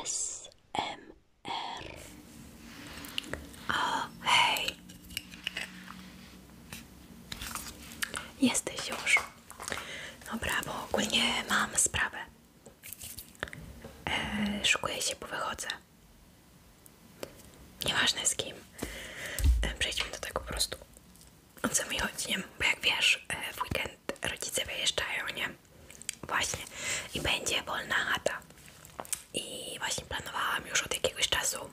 ASMR. O, hej. już. Dobra, bo ogólnie mam sprawę. E, szukuję się, bo wychodzę. Nieważne z kim. E, przejdźmy do tego po prostu o co mi chodzi, nie? Bo jak wiesz, e, w weekend rodzice wyjeżdżają, nie? Właśnie. I będzie wolna chata. I właśnie planowałam już od jakiegoś czasu,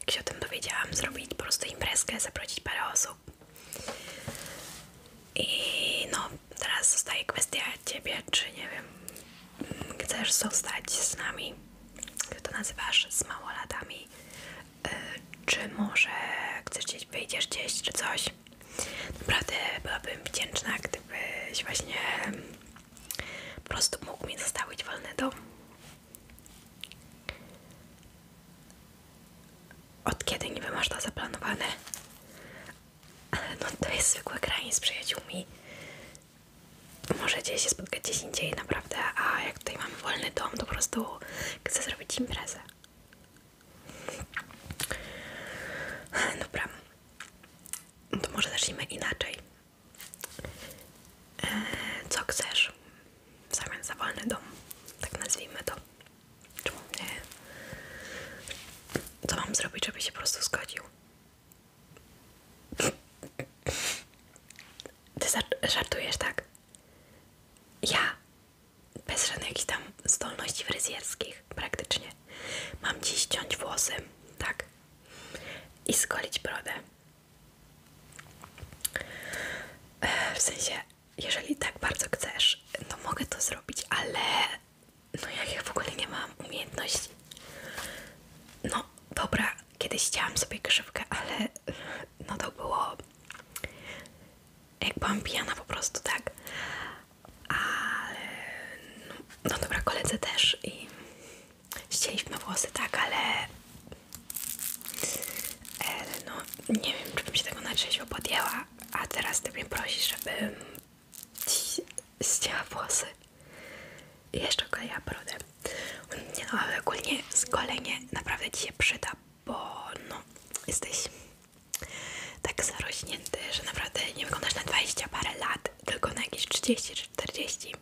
jak się o tym dowiedziałam, zrobić po prostu imprezkę, zaprosić parę osób. I no, teraz zostaje kwestia ciebie, czy nie wiem, chcesz zostać z nami, jak to nazywasz, z małolatami, e, czy może chcesz gdzieś, wyjdziesz gdzieś, czy coś. Naprawdę byłabym wdzięczna, gdybyś właśnie po prostu mógł mi zostawić wolny dom. Od kiedy niby masz to zaplanowane? No to jest zwykłe granie z przyjaciółmi. Możecie się spotkać gdzieś indziej, naprawdę. A jak tutaj mamy wolny dom, to po prostu chcę zrobić imprezę. Dobra, no to może zacznijmy inaczej. E, co chcesz w zamian za wolny dom? Tak nazwijmy to. Czemu nie? Co mam zrobić, żeby się po prostu zgodził? Ty żartujesz, tak? Ja? bez żadnych tam zdolności fryzjerskich praktycznie. Mam dziś ściąć włosy, tak? I skolić brodę. E, w sensie, jeżeli tak bardzo chcesz, to no mogę to zrobić, ale no jak ja w ogóle nie mam umiejętności. No dobra, kiedyś chciałam sobie krzywkę, ale no to było jak byłam pijana po prostu, tak? Ale no, no dobra, koledzy też i ścieliśmy włosy, tak, ale no nie wiem, czy bym się tego na trzeźwo podjęła, a teraz ty mnie prosi, żebym ścięła włosy i jeszcze koleja brodę. Nie no, ale ogólnie z skolenie naprawdę ci się przyda, bo no, jesteś tak zarośnięty, że naprawdę nie wyglądasz na 20 parę lat, tylko na jakieś 30 czy 40.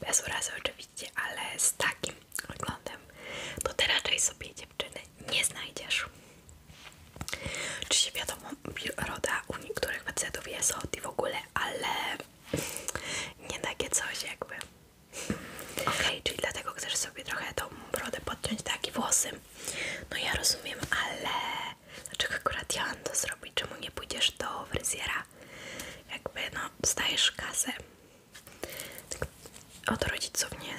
Bez urazy oczywiście, ale z takim wyglądem to ty raczej sobie dziewczyny nie znajdziesz. czy się wiadomo, roda u niektórych facetów jest od i w ogóle, ale nie takie coś jakby. Okej, okay, czyli dlatego chcesz sobie trochę tą brodę podciąć, tak i włosy no ja rozumiem, ale dlaczego akurat ja mam to zrobić? Czemu nie pójdziesz do fryzjera? Jakby no, dostajesz kasy od rodziców, nie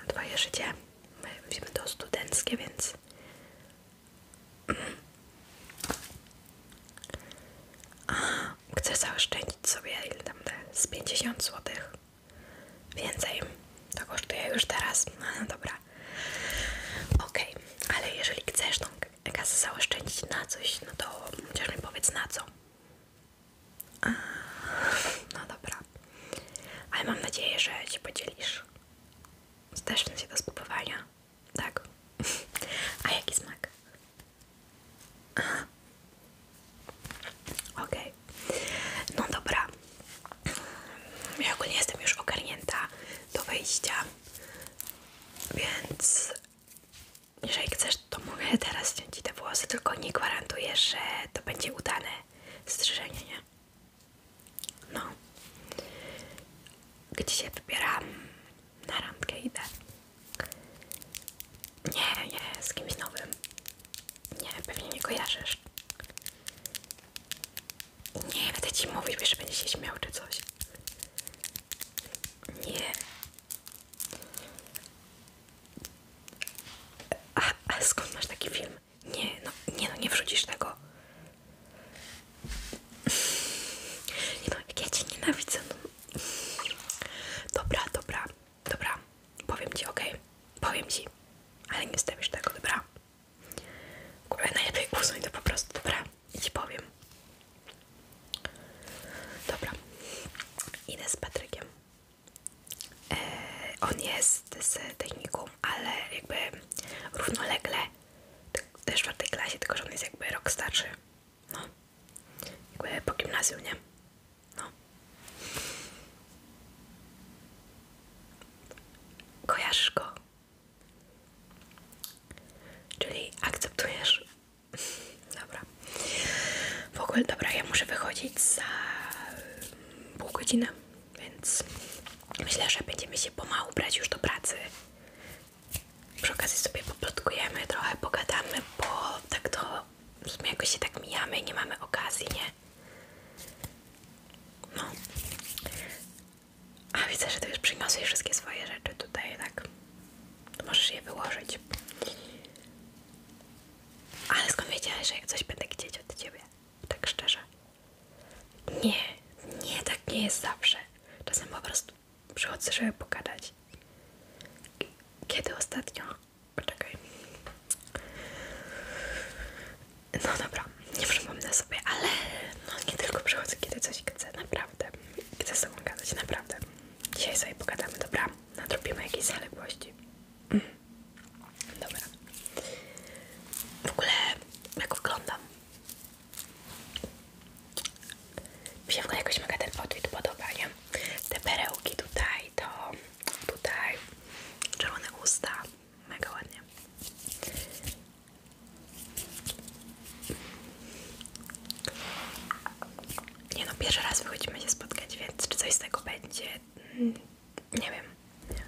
na twoje życie. My wiemy to studenckie, więc... A, chcę zaoszczędzić sobie ile tam te z 50 złotych Więcej. To kosztuje już teraz. No, dobra. Okej, ale jeżeli chcesz tą kasę zaoszczędzić na coś, no to chociaż mi powiedz na co. no dobra. Ale mam nadzieję, że się podzielisz. Zdasz się do spróbowania. Tak. A jaki smak? Aha. Okej, no dobra. Ja nie jestem już ogarnięta do wejścia, więc jeżeli chcesz, to mogę teraz ciąć ci te włosy, tylko nie gwarantuję, że to będzie udane strzyżenie, nie? No. Gdzie się wybieram? Na randkę idę. Nie, nie, z kimś nowym. Nie, pewnie nie kojarzysz. Nie, będę ci mówić, wiesz, że będzie się śmiał czy coś. Nie. A, skąd masz taki film? Nie, no nie, no nie wrzucisz tego. Nie no, jak ja cię nienawidzę. No. Dobra, dobra. Dobra, powiem ci, okej, powiem ci, ale nie stawisz tego, dobra? W ogóle najlepiej usuń to po prostu, dobra? I ci powiem. Dobra, idę z Patrykiem. E, on jest z technikum, ale jakby równolegle w czwartej klasie, tylko że on jest jakby rok starszy. No, jakby po gimnazjum, nie? No. Kojarzysz Czyli akceptujesz. Dobra. W ogóle, dobra, ja muszę wychodzić za pół godziny, więc myślę, że będziemy się pomału brać już do pracy. Przy okazji sobie poplotkujemy, trochę pogadamy, bo tak to w sumie jakoś się tak mijamy, nie mamy okazji, nie? No. A widzę, że ty już przyniosłeś wszystkie swoje rzeczy tutaj, tak? możesz je wyłożyć. Ale skąd wiedziałeś, że ja coś będę chcieć od ciebie? Tak szczerze. Nie, nie, tak nie jest zawsze. Czasem po prostu przychodzę, żeby pogadać. Kiedy ostatnio Poczekaj. No dobra, nie na sobie, ale no nie tylko przychodzę, kiedy coś chcę, naprawdę. Chcę z tobą gadać, naprawdę. Dzisiaj sobie pogadamy, dobra? Nadrobimy jakieś zaległości. Mm. Dobra. W ogóle, jak oglądam, mi się w ogóle jakoś mega ten outfit podoba, Te perełki tutaj, to tutaj, czerwone usta mega ładnie. Nie no, pierwszy raz wychodzimy się spotkać, więc czy coś z tego będzie? Nie wiem. Nie.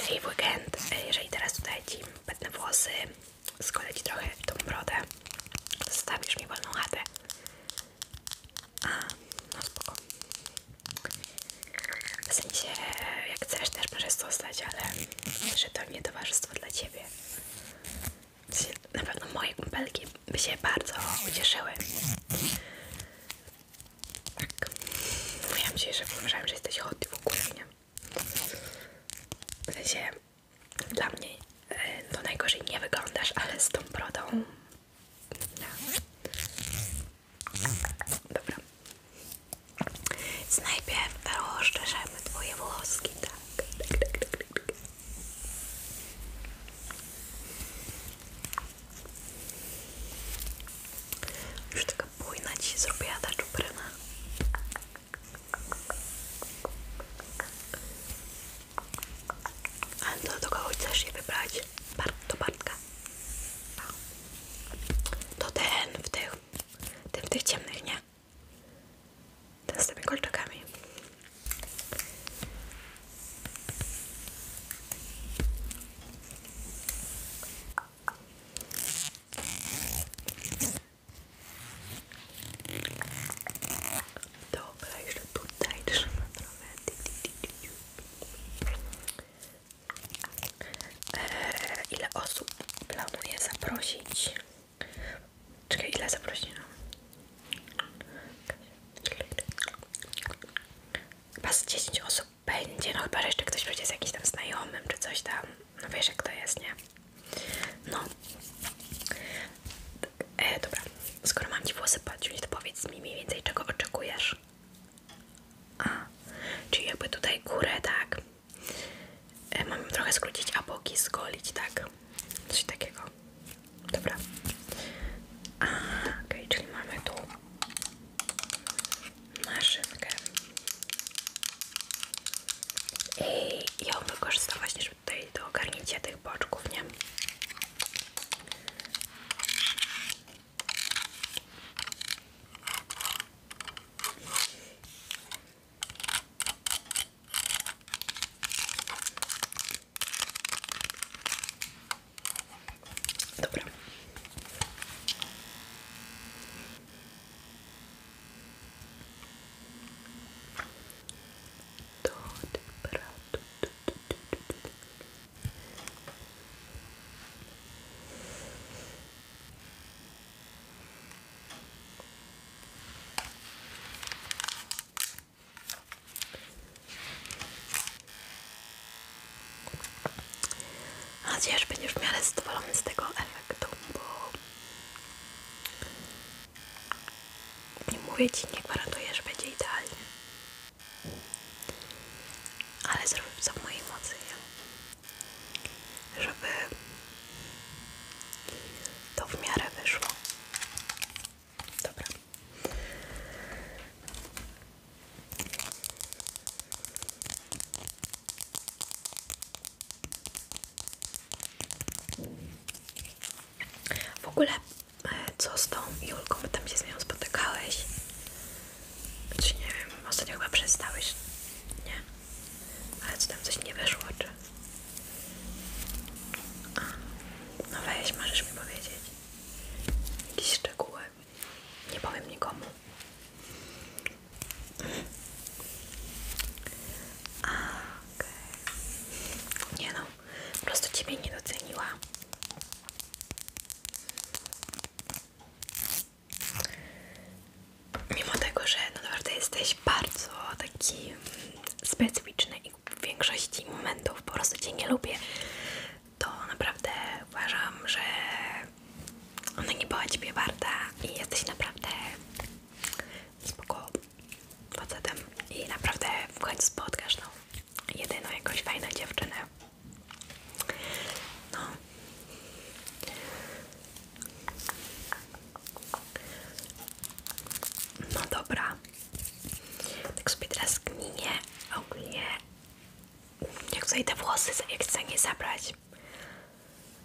Czyli weekend, e, jeżeli teraz tutaj ci włosy, skolę trochę tą brodę, Zostawisz mi wolną chatę. A, no spoko. W sensie, jak chcesz też możesz zostać, ale że to nie towarzystwo dla Ciebie. W sensie, na pewno moje kumpelki by się bardzo ucieszyły. Tak. Mówiłam Ci, że wyobrażam, że jesteś hot w ogóle, nie? W sensie, dla mnie e, to najgorzej nie wyglądasz, ale z tą brodą. No. Dobra. Więc najpierw rozszerzamy Twoje włoski, tak. tak, tak, tak, tak, tak. Już taka bujna ci zrobiła ta czupryna. A do, kogo chcesz wybrać? Bart, Bartka. No. To ten w tych, ten w tych ciemnych, nie? Ten z tymi kolczakami. Dobra, jeszcze tutaj trzyma trochę. Eee, ile osób planuję zaprosić? Czekaj, ile zaprosiłam? No? Chyba z 10 osób będzie, no chyba, że jeszcze ktoś będzie z jakimś tam znajomym czy coś tam. No wiesz jak to jest, nie? No, E, dobra, skoro mam Ci włosy podciąć, to powiedz mi mniej więcej czego oczekujesz. A, czyli jakby tutaj górę, tak? E, mam trochę skrócić, a boki zgolić, tak? Coś takiego. Dobra. A, okej, czyli mamy tu maszynkę. I ją wykorzysta właśnie, też tutaj do ogarnięcia tych boczków, do temperatu. Mam nadzieję, miarę zadowolony z tego efektu, nie mówię ci, nie gwarantuję, że będzie idealnie. Ale zrobię co w mojej żeby to w miarę wyszło. Dobra. W ogóle co z tą Julką, bo tam się z nią spotykałeś. Czy nie wiem, ostatnio chyba przestałeś, nie? Ale co tam coś nie weszło, czy? A, no weź, możesz mi powiedzieć. jakiś szczegóły. Nie powiem nikomu. A, okej. Nie no, po prostu Ciebie nie doceniła. Mimo tego, że no naprawdę jesteś bardzo taki mm, specyficzny i w większości momentów po prostu Cię nie lubię, to naprawdę uważam, że ona nie była Ciebie warta i jesteś naprawdę spoko facetem i naprawdę w końcu spotkasz no, jedyną jakąś fajną dziewczynę. No. No dobra. Tak sobie teraz gminie ogólnie jak tutaj te włosy jak chcę nie zabrać.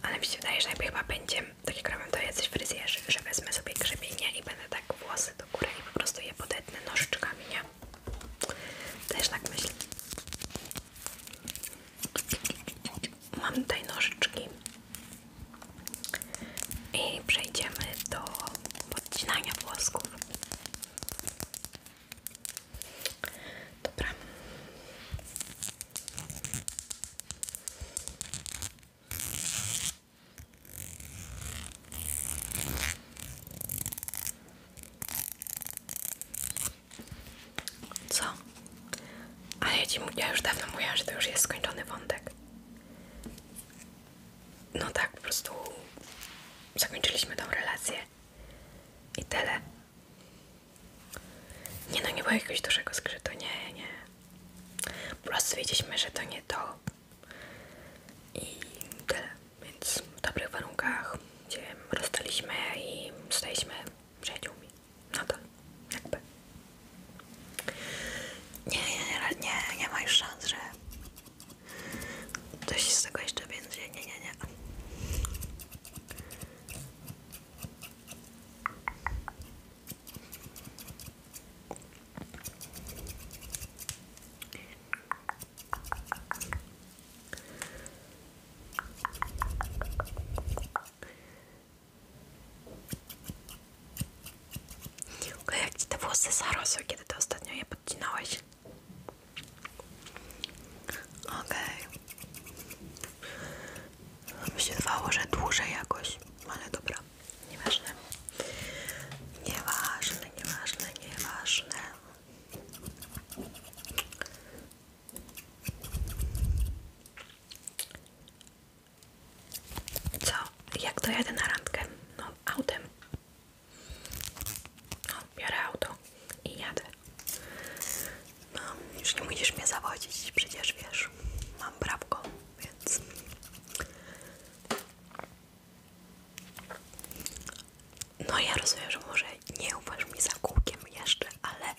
Ale mi się wydaje, że najpierw chyba będzie, tak jak robią to jacyś fryzjerzy, że wezmę sobie grzebienie i będę tak włosy do góry po prostu je podetnę nożyczkami, nie? Też tak myślę. Mam tutaj nożyczki i przejdziemy do podcinania włosków. Dobra. Co? Ale ja, ci, ja już dawno mówiłam, że to już jest skończony wątek. No tak, po prostu zakończyliśmy tą relację. I tyle. Nie no, nie było jakiegoś dużego skrytu, nie, nie. Po prostu wiedzieliśmy, że to nie to. I tyle. Więc w dobrych warunkach się rozstaliśmy i staliśmy przyjaciółmi. Nadal. No jakby. Nie, nie, nie, nie ma już szans, że coś z tego jeszcze więcej. Nie, nie, nie. Okej, jak ci te włosy zarosły, kiedy to ostatnio je podcinałeś? Ok. Okay. Myślę, że dłużej jakoś, ale dobra. Nieważne. Nieważne, nieważne, nieważne. Co? Jak to dojadę na randkę? No, autem. No, biorę auto i jadę. No, już nie musisz mnie zawodzić, przecież wiesz, mam prawko, więc no ja rozumiem, że może nie uważasz mi za kółkiem jeszcze, ale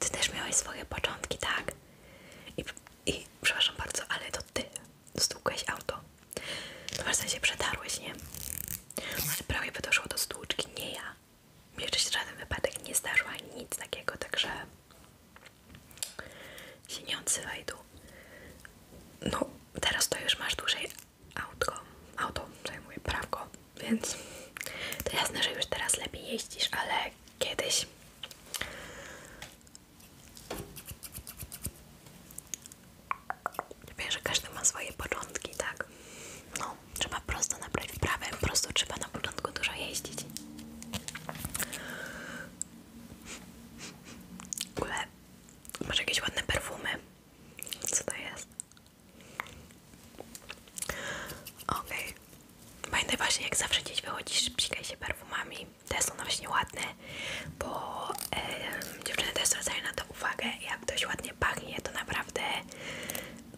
ty też miałeś swoje początki, tak? I, przepraszam bardzo, ale to ty stukłeś auto. No w sensie przetarłeś, nie? Ale prawie by doszło do stłuczki, nie ja. Jeszcze się żaden wypadek nie zdarzył, nic takiego, także się nie odzywaj tu. No, teraz to już masz dłużej autko, auto Zajmuję prawko, więc to jasne, że już teraz lepiej jeździsz, ale kiedyś Wiem, że każdy ma swoje początki, tak? No, trzeba prosto nabrać wprawę, prosto trzeba na początku dużo jeździć. W Masz jakieś ładne perfumy? Co to jest? ok, Okay. właśnie, jak zawsze gdzieś wychodzisz, psikaj się perfumami. Te są właśnie ładne, bo e, dziewczyny też zwracają na to uwagę. Jak ktoś ładnie pachnie, to naprawdę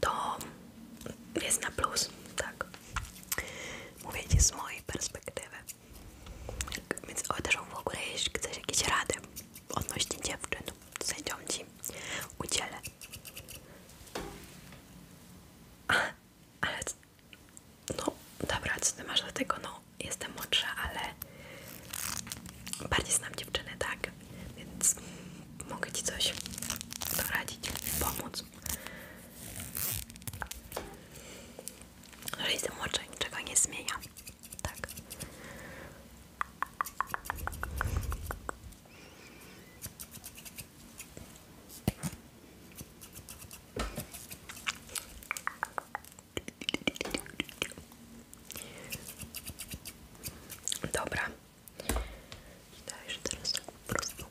to jest na plus, tak. Mówię ci z mojej perspektywy. Więc też uderzą w ogóle, jeśli chcesz jakieś rady odnośnie dziewczyn, to sędzią ci udzielę. A, ale, no dobra, co ty masz do No, jestem młodsza, ale bardziej znam dziewczyny, tak? Więc mogę ci coś doradzić, pomóc że jestem młodsza nie zmienia. Tak. Dobra. Dajesz teraz tak prostu.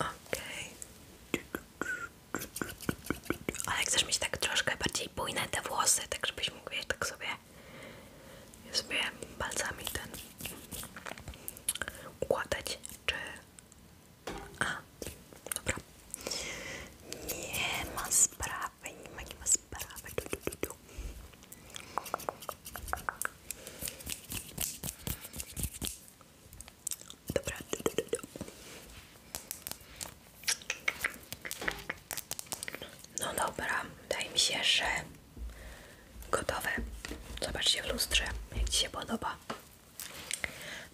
Okej. Ale chcesz mieć tak troszkę bardziej bujne te włosy, tak żebyś mógł wiesz, tak sobie sobie palcami ten układać, czy... A, dobra. Nie ma sprawy bem, como é que você parava? Dobra, No dobra, wydaje mi się, że gotowe. Zobaczcie w lustrze, jak Ci się podoba.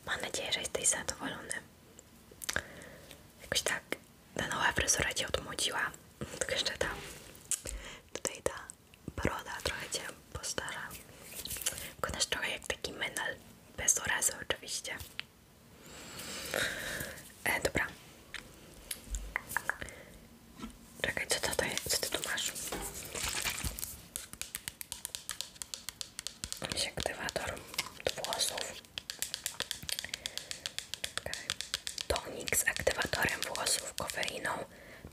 Mam nadzieję, że jesteś zadowolony. Jakoś tak ta nowa fryzura Cię odmłodziła, tylko jeszcze ta, tutaj ta broda trochę Cię postara. Wyglądasz trochę jak taki menel, bez urazy oczywiście. E, dobra. Czekaj, co to, to jest? Co ty tu masz? Sektywator do włosów. Tonik z aktywatorem włosów, kofeiną,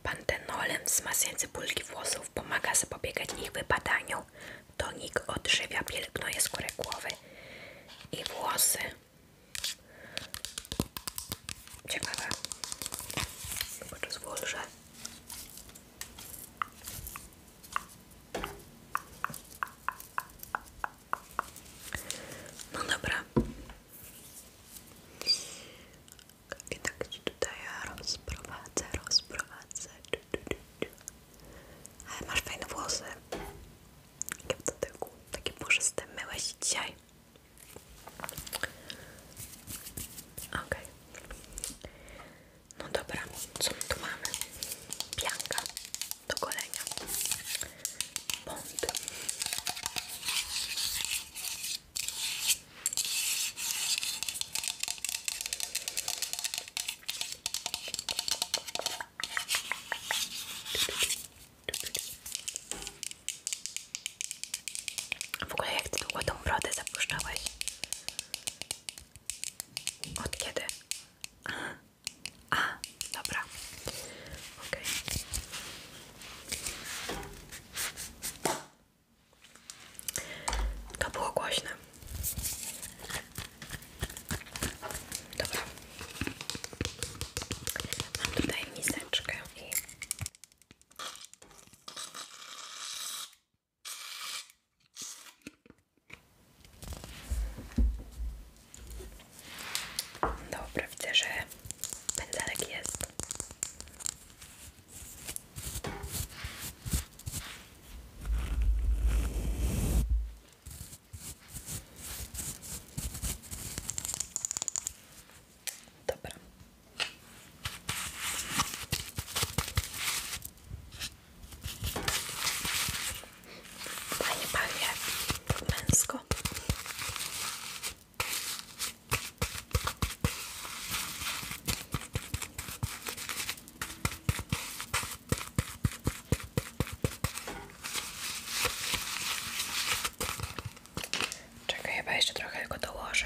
pantenolem, wzmacnia cebulki włosów, pomaga zapobiegać ich wypadaniu. Tonik odżywia, pielęgnuje skórę głowy i włosy. Ciekawe. Tylko zwłożę. No dobra. I tak ci tutaj rozprowadzę, rozprowadzę. Ale masz fajne włosy. Jakie w dotyku. Takie puszyste. Myłeś dzisiaj. ok No dobra, co tu mamy? Pianka do golenia. Bond. W ogóle jak ty długo tą brodę zapuszczałeś? Od kiedy? A, dobra. Ok. To było głośne. Dobra. Mam tutaj miseczkę Dobra, widzę, że pędzelek jest. Dobra. Fajnie pachnie męsko. Czekaj, chyba jeszcze trochę tylko dołożę.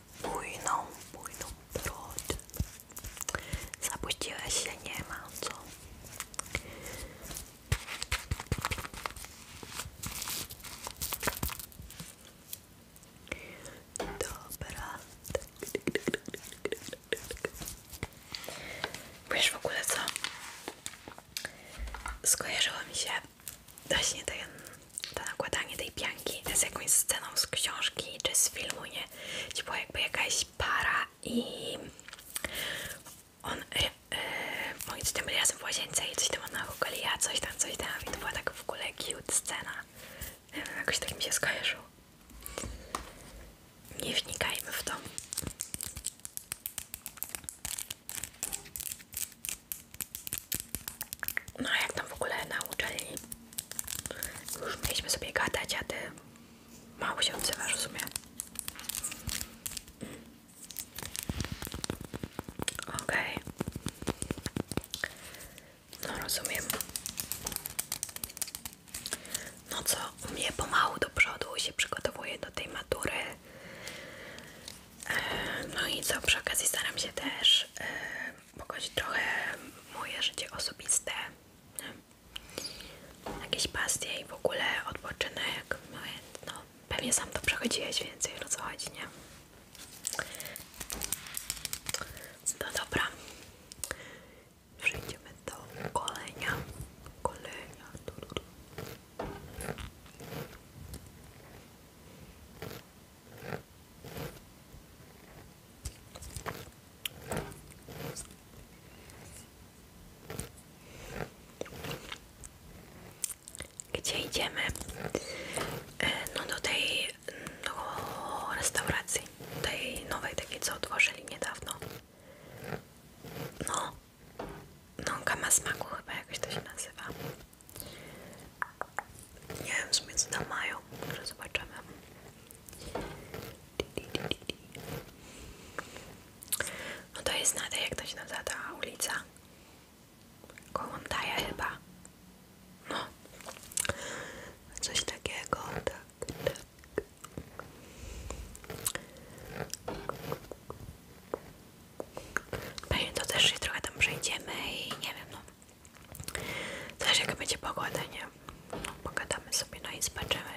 bujną, bujną brodę. Zapuściła się, nie ma co. Dobra. Wiesz w ogóle co? Skojarzyło mi się właśnie to, to nakładanie tej pianki z jakąś sceną z książki czy z filmu, nie? chyba jakby jakaś para i on, yy, oni z tym byli razem w łazience i coś tam na hukali, ja coś tam, coś tam i to była tak w ogóle cute scena. Nie wiem, jakoś tak mi się skojarzyło. Nie wnikajmy w to. No jak tam w ogóle na uczelni? Już mieliśmy sobie gadać, a ty mało się odzywasz w sumie. No rozumiem. No co, u mnie pomału do przodu się przygotowuje do tej matury. E, no i co, przy okazji staram się też e, pokazać trochę moje życie osobiste, jakieś pasje i w ogóle odpoczynek, no więc no, pewnie sam to przechodziłeś, więcej o co chodzi, nie? No dobra, przejdziemy do kolejnego kolenia, gdzie idziemy? E, no do tej do restauracji, tej nowej takiej co otworzyli niedawno. No, no kama smaku chyba jakoś to się nazywa. Nie wiem w sumie co tam mają, może zobaczymy. No to jest znane, jak to się nazywa ta ulica. daje chyba. No. Coś takiego, tak, tak. Pewnie to też się trochę tam przejdziemy i nie wiem, no Zależy jak będzie pogoda, nie? No, pogadamy sobie, no i zobaczymy.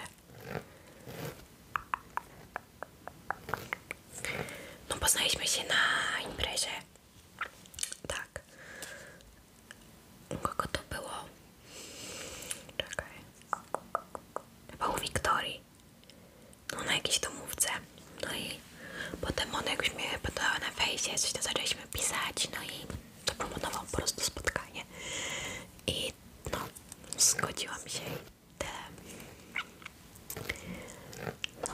No poznaliśmy się na imprezie. Tak. Kogo to było? Czekaj. Chyba u Wiktorii. No na jakiejś domówce. No i chwili. Potem on jak już mnie podała na fejsie, coś tam zaczęliśmy pisać, no i to proponował po prostu spotkanie. I no, zgodziłam się i tyle. No.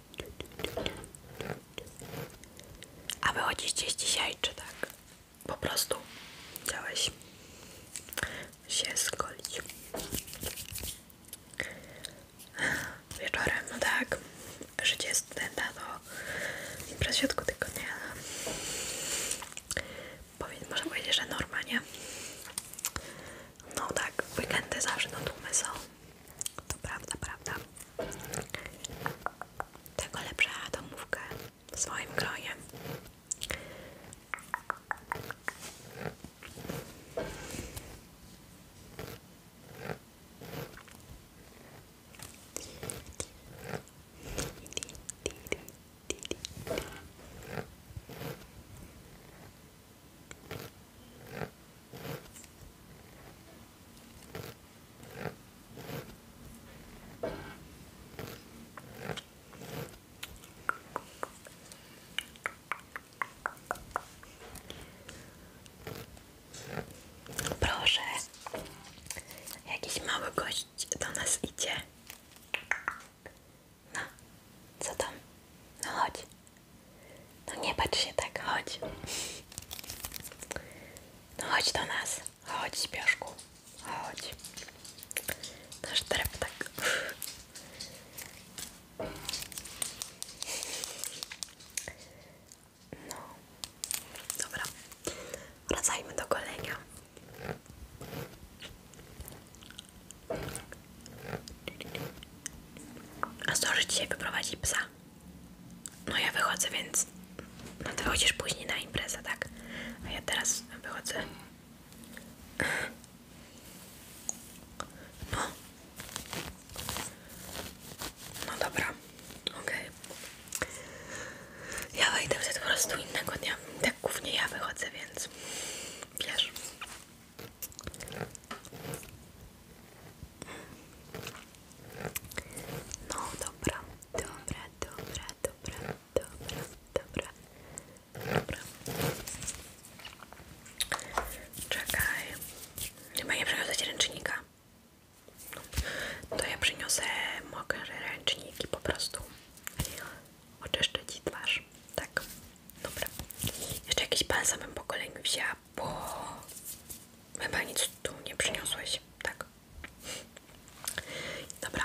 A wychodzisz gdzieś dzisiaj, czy tak? Po prostu chciałeś się skolić. Wieczorem, no tak. Życie studenta to no. imprez środku tygodnia. Powiedz, może powiedzieć, że normalnie. No tak, weekendy zawsze no tłumy są. To prawda, prawda. Tego lepsza domówkę swoim gronie. Proszę, jakiś mały gość do nas idzie. No, co tam? No chodź. No nie patrz się tak, chodź. No chodź do nas. Chodź, śpioszku. Chodź. Nasz drep tak. No. Dobra. Wracajmy do golenia. A zdąży dzisiaj wyprowadzi psa. No ja wychodzę, więc no ty chodzisz później na imprezę, tak? A ja teraz wychodzę. No. No dobra, OK. Ja wejdę wtedy po prostu innego dnia. Tak głównie ja wychodzę, więc wiesz. No dobra, dobra, dobra, dobra, dobra, dobra, dobra. Czekaj. Chyba nie przyniosę ręcznika. No, to ja przyniosę mokre ręczniki po prostu. Oczyszczę ci twarz. Tak. Dobra. Jeszcze jakiś balsam bym po kolei wzięła, bo chyba nic tu nie przyniosłeś, tak? Dobra,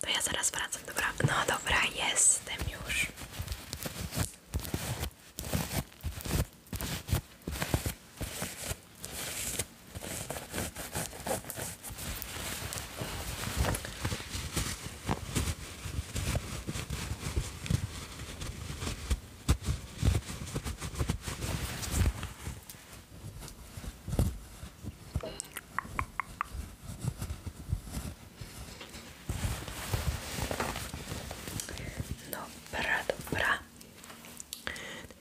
to ja zaraz wracam, dobra? No dobra, jestem już. Dobra, dobra.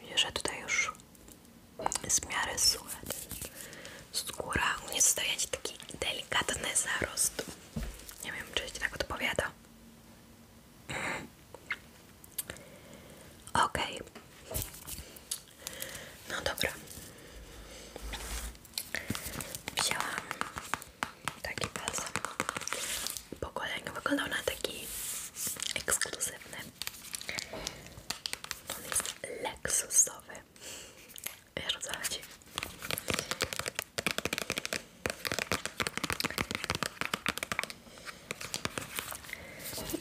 Widzę, że tutaj już jest w miarę suche. Skóra u mnie zostaje taki delikatny zarost. Nie wiem, czy ci tak odpowiada. Okej. Okay. No dobra. Wzięłam taki balsam po koleniu. Wyglądał na taki ekskluzywny. On jest leksusowy. Wiesz o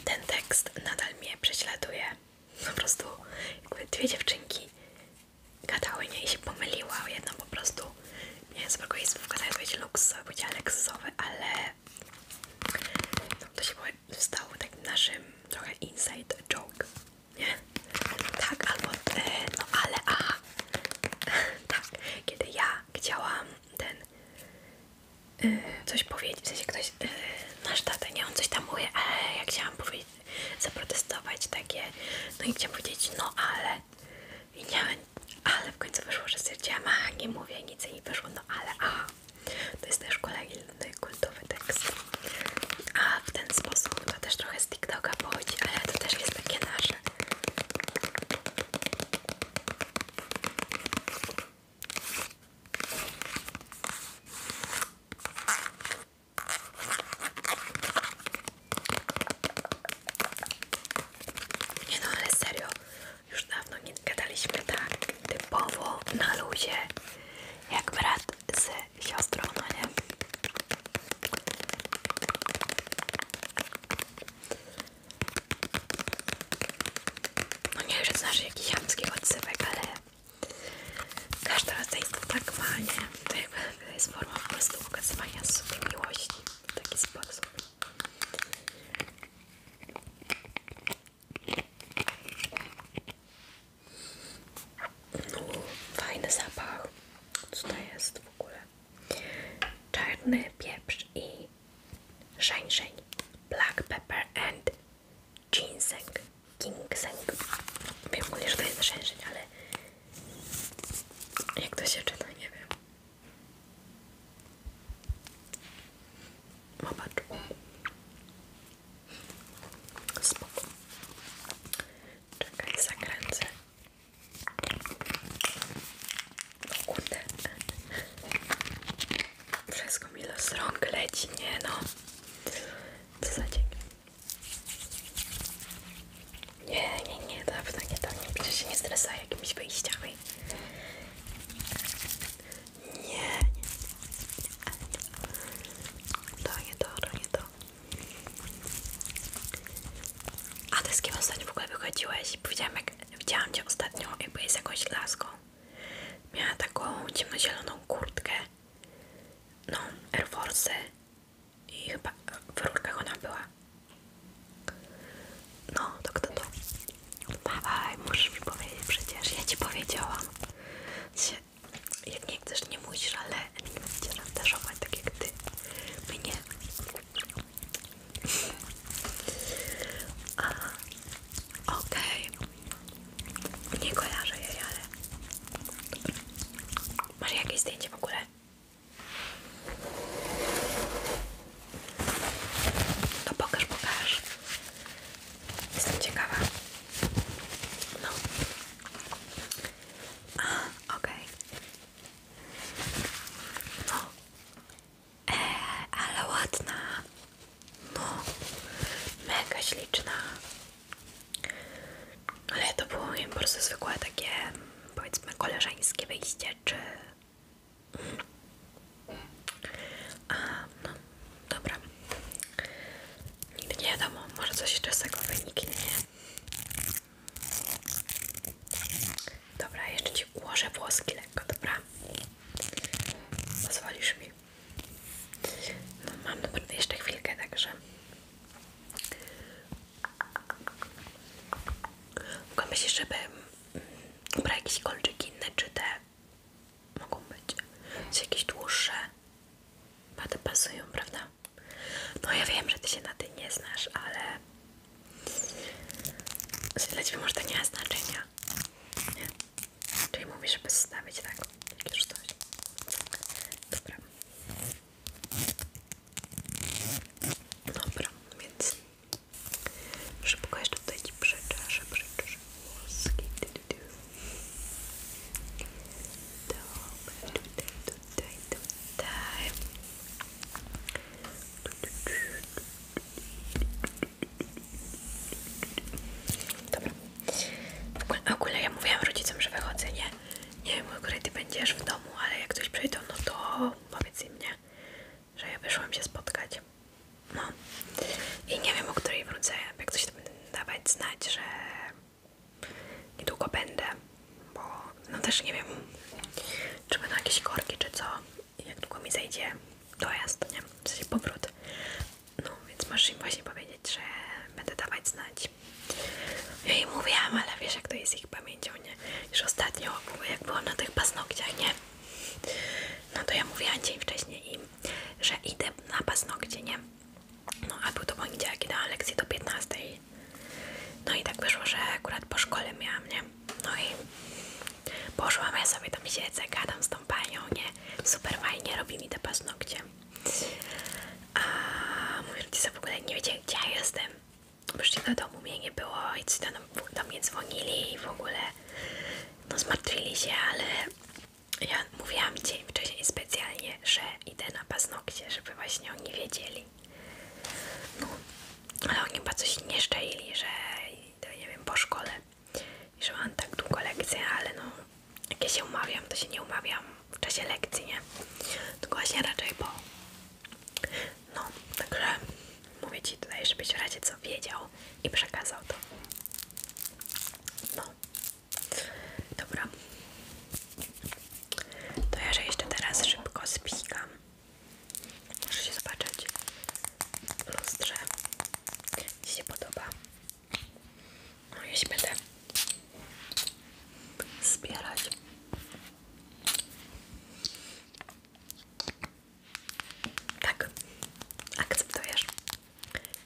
ten tekst nadal mnie prześladuje. Po prostu jakby dwie dziewczynki gadały nie i się pomyliła. Jedna po prostu nie wiem, z tego jest wkazała jakieś luksusowe, powiedziała ale to się stało takim naszym trochę inside joke, nie? Tak, albo no ale a tak, kiedy ja chciałam ten y, coś powiedzieć, w sensie ktoś, yy, nasz tata, nie, on coś tam mówi, ale ja chciałam powiedzieć, zaprotestować takie, no i chciałam powiedzieć, no ale, i nie, ale w końcu wyszło, że stwierdziłam, a nie mówię nic i nie wyszło, no ale, a, to jest też kolejny kultowy tekst. A w ten sposób to też trochę z TikToka pochodzi, ale to też jest takie nasze. Nie no, ale serio, już dawno nie gadaliśmy tak typowo na luzie, jak brat z siostrą, no nie? No nie wiem, że znasz jakiś chamski odzywek, ale każdy rodzaj tak ma, To jest forma po prostu ukazywania sobie miłości w taki sposób. No, fajny zapach. Co to jest w ogóle? Czarny pieprz i shensheng, black pepper and ginseng, ginseng. Wiem ogólnie, że to jest shensheng, ale jak to się czyta, nie wiem. Zobacz. Spoko. Czekaj, zakręcę o kurde. Wszystko mi z rąk leci, nie no. Co za dzień. Nie, nie, nie, dobra, nie, to nie, przecież się nie stresa jakimiś wyjściami. Nie, nie, nie. To nie to, to nie to. A te z kim ostatnio w ogóle wychodziłeś? Powiedziałam jak widziałam Cię ostatnio, jak jest jakąś laską. Miała taką ciemnozieloną kurtkę, no, Air Force i chyba w rurkach ona była. No, to kto to? Dawaj, musisz mi powiedzieć przecież, ja Ci powiedziałam. Jak nie chcesz, nie musisz, ale nie będę cię szantażować tak jak Ty. Mnie. Okej, okay. nie kojarzę jej, ale masz jakieś zdjęcie w ogóle? To pokaż, pokaż. Jestem ciekawa. No. okej. No. E, ale ładna. No, mega śliczna. Ale to było im po prostu zwykłe takie, powiedzmy, koleżeńskie wyjście, czy... A, no, dobra. Nigdy nie wiadomo, może coś jeszcze z tego wyniknie. Dobra, jeszcze Ci ułożę włoski lekko, dobra? Pozwolisz mi? No mam dobra, jeszcze chwilkę, także... Mogę myśleć, żeby mm, brać jakieś kolczyki inne, czy te mogą być czy jakieś dłuższe? Bardzo pasują, prawda? No ja wiem, że Ty się na ty nie znasz, ale dla Ciebie może to nie ma znaczenia, nie? Czyli mówisz, żeby stawić tak, już coś. Dobra. Dobra, więc szybko jeszcze tutaj Ci przeczaszę, przeczaszę włoski. Dobra, tutaj, tutaj, tutaj. Dobra. W ogóle, ja mówiłam rodzicom, że wychodzę, nie? Nie wiem, o której ty będziesz w domu, ale jak ktoś przyjdzie no to powiedz im, nie? Że ja wyszłam się spotkać. No. I nie wiem, o której wrócę. Jak coś to dawać znać, że niedługo będę. Bo no też nie wiem, czy będą jakieś korki, czy co jak długo mi zejdzie dojazd, nie? W sensie powrót. No, więc masz im właśnie powiedzieć, że będę dawać znać. Ja jej mówiłam, ale wiesz jak to jest ich pamięcią, nie? Już ostatnio, jak było na tych paznokciach, nie? No to ja mówiłam dzień wcześniej i że idę na paznokcie, nie? No, a był to poniedziałek, kiedy dałam lekcję do 15. No i tak wyszło, że akurat po szkole miałam, nie? No i poszłam, ja sobie tam siedzę, gadam z tą panią, nie? Super fajnie robi mi te paznokcie. A moi rodzice w ogóle nie wiedzieli, gdzie ja jestem. Przyszli do domu, mnie nie było i ci tam do mnie dzwonili i w ogóle no zmartwili się, ale ja mówiłam dzień wcześniej specjalnie, że idę na paznokcie, żeby właśnie oni wiedzieli. No, ale oni chyba coś nie szczaili, że to nie wiem, po szkole. że mam tak długo lekcję, ale no, jak ja się umawiam, to się nie umawiam w czasie lekcji, nie? Tylko właśnie raczej po. No, także mówię Ci tutaj, żebyś w razie co wiedział i przekazał to. No. Dobra. To ja że jeszcze teraz szybko spikam. Możesz się zobaczyć w lustrze, ci się podoba. No jeśli będę zbierać. Tak, akceptujesz.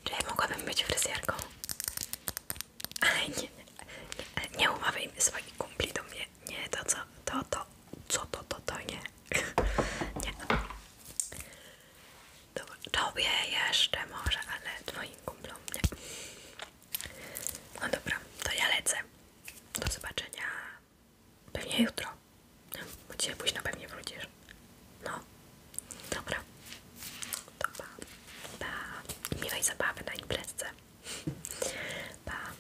Czy ja mogłabym być fryzjerką? Ale nie, nie, nie umawiaj swoich kumpli do mnie. Nie, to co, to, to, co, to, to, to, nie. Nie. Dobra, tobie jeszcze może, ale twoim kumplom nie. No dobra, to ja lecę. Do zobaczenia pewnie jutro. Bo dzisiaj późno pewnie wrócisz. No. Dobra. To pa. Pa. I zabawy na imprezce. Pa.